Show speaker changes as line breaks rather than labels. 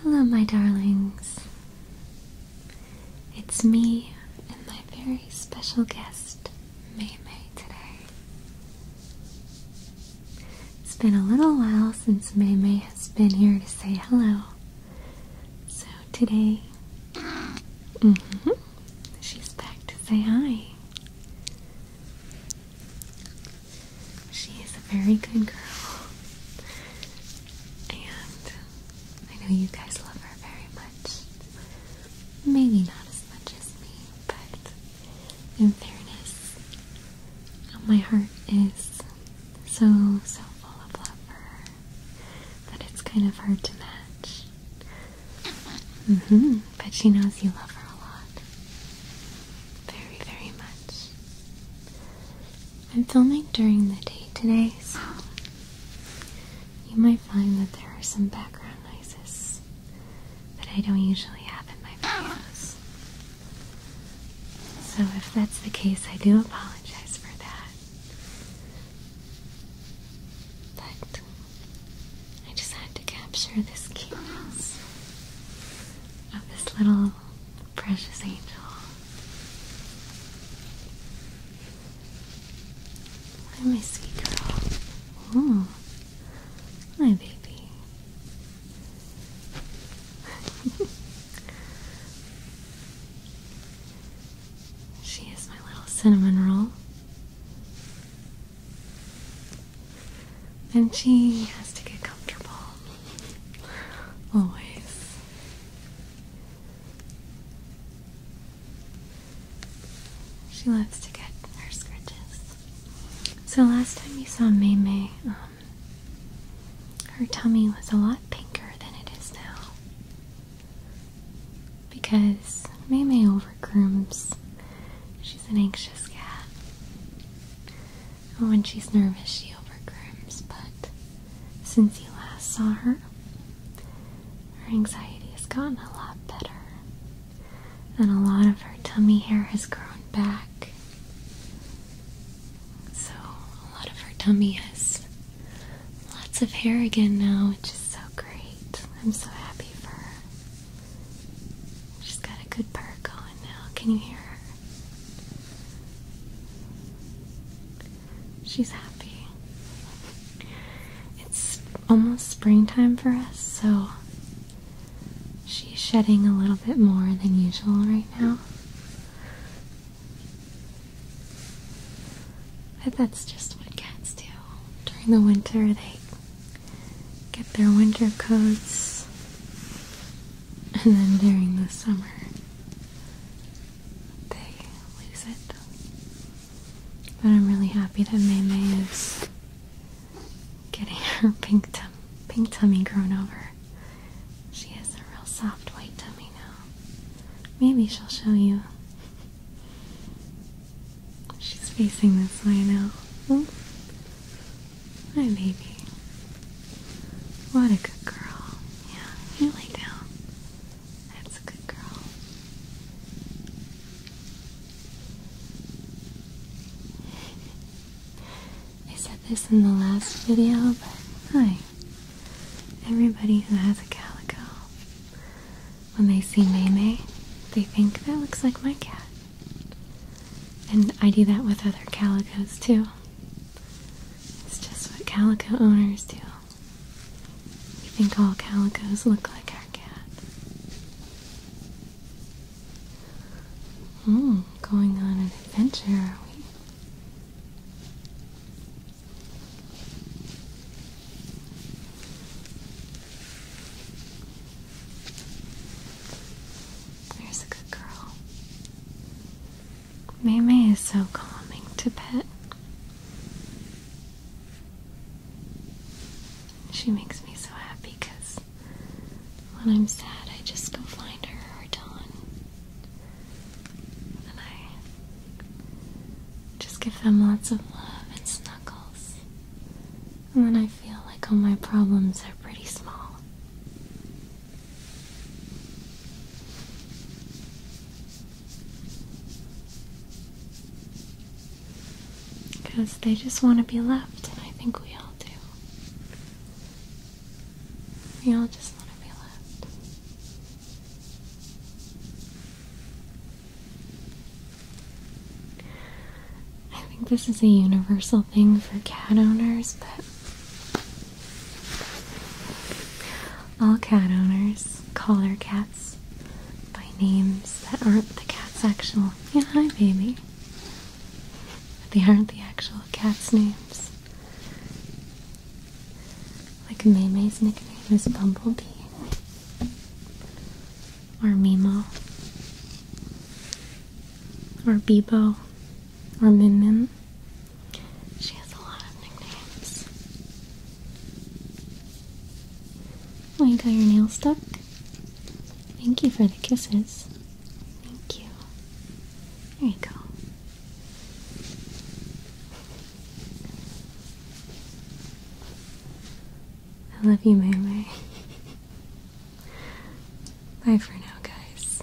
Hello, my darlings. It's me and my very special guest, May May, today. It's been a little while since May May has been here to say hello. So today, mm -hmm, she's back to say hi. She is a very good girl. And I know you guys love her very much. Maybe not as much as me, but in fairness, my heart is so, so full of love for her that it's kind of hard to match. Mm-hmm but she knows you love her a lot. Very, very much. I'm filming during the day today, so you might find that there are some background noises that I don't usually have in my videos. So if that's the case, I do apologize for that. But I just had to capture this cuteness of this little precious angel. my sweet girl. my baby. She is my little cinnamon roll. And she has to get comfortable. Always. She loves to get her scratches. So last time you saw Mei Mei, um, her tummy was a lot pinker than it is now. Because May May overgrooms. She's an anxious cat. And when she's nervous, she overgrooms. But since you last saw her, her anxiety has gotten a lot better. And a lot of her tummy hair has grown back. So a lot of her tummy is. Lots of hair again now, which is so great. I'm so happy for her. She's got a good part going now. Can you hear her? She's happy. It's almost springtime for us, so she's shedding a little bit more than usual right now that's just what cats do. During the winter, they get their winter coats, and then during the summer, they lose it. But I'm really happy that Maymay is getting her pink tie pink tummy grown over. She has a real soft white tummy now. Maybe she'll show you. She's facing this way now. Oh. My baby. What a good girl. Yeah, you lay down. That's a good girl. I said this in the last video, but hi. Everybody who has a calico, when they see Maymay, they think that looks like my cat. And I do that with other calicos too. It's just what calico owners do. We think all calicos look like our cat. Hmm, going on an adventure, are we? There's a good girl. Mimi is so calming to pet. She makes me so happy because when I'm sad, I just go find her or Dawn. And I just give them lots of love and snuggles. And then I feel like all my problems are pretty small. Because they just want to be left, and I think we all do. We all just want to be left. I think this is a universal thing for cat owners, but all cat owners call their cat by names that aren't the cat's actual. Yeah, hi, baby. But they aren't the actual cat's names. Like Mei Mei's nickname is Bumblebee or Mimo or Bebo or Mim she has a lot of nicknames. Oh, you your nail stuck? Thank you for the kisses. Thank you. There you go. I love you, Mary. Bye for now, guys.